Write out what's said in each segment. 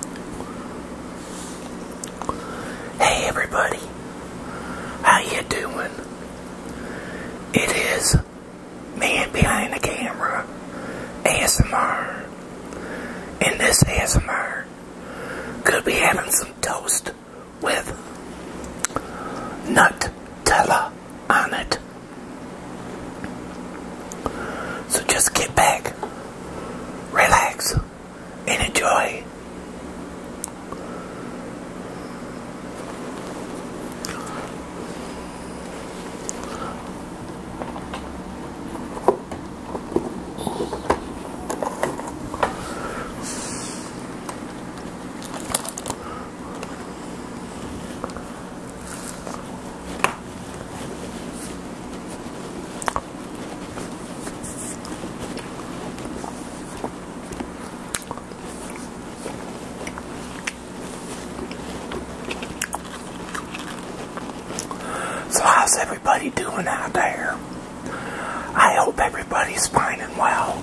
Hey everybody, how you doing? It is man behind the camera, ASMR, and this ASMR could be having some toast with Nutella on it. So just get back, relax, and enjoy. So how's everybody doing out there? I hope everybody's fine and well.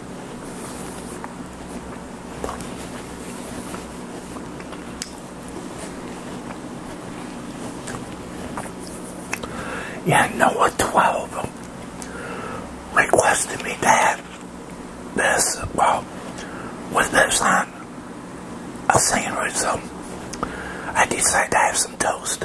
Yeah, Noah 12 requested me that. have this, well, with this on a sandwich, so I decided to have some toast.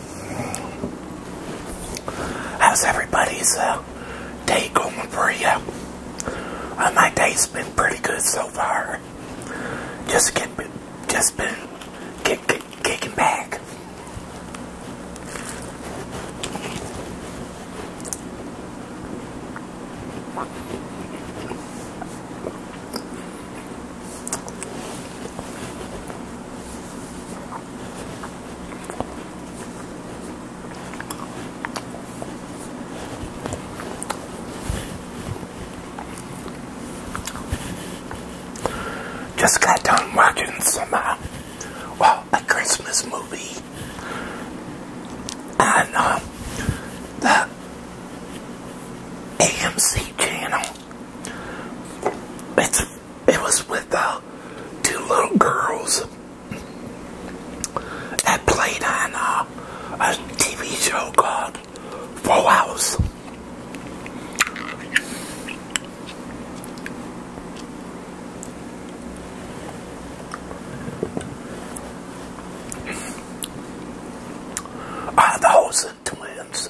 How's everybody's uh, day going for you? Uh, my day's been pretty good so far. Just get, just been kicking back. Just got done watching some, uh, well, a Christmas movie on uh, the AMC channel. It's it was with uh, two little girls that played on uh, a TV show called Full House. Uh, the twins.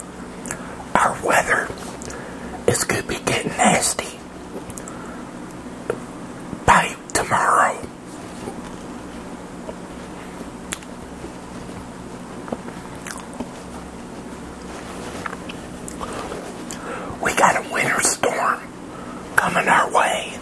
our weather is going to be getting nasty by tomorrow. We got a winter storm coming our way.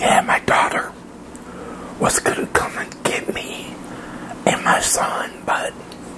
Yeah, my daughter was going to come and get me and my son, but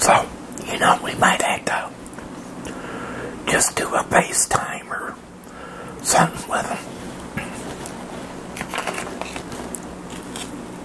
So, you know, we might have to just do a FaceTime Timer, something with them.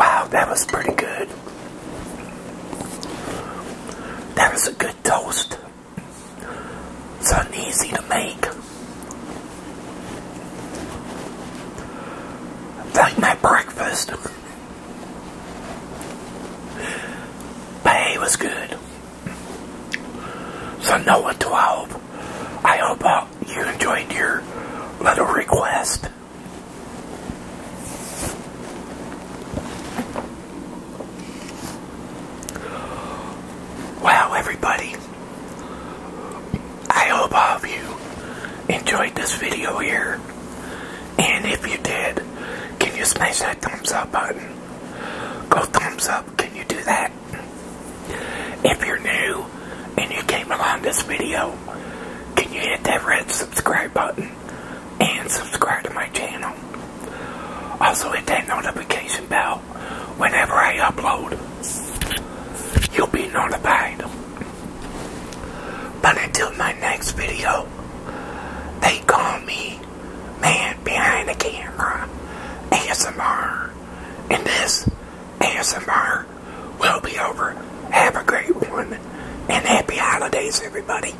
Wow, that was pretty good. That was a good toast. It's Something easy to make. Like my breakfast. But it was good. So Noah 12, I hope uh, you enjoyed your little request. Wow, everybody, I hope all of you enjoyed this video here. And if you did, can you smash that thumbs up button? Go thumbs up, can you do that? If you're new and you came along this video, can you hit that red subscribe button? and subscribe to my channel. Also hit that notification bell whenever I upload. You'll be notified. But until my next video, they call me Man Behind the Camera ASMR. And this ASMR will be over. Have a great one and happy holidays everybody.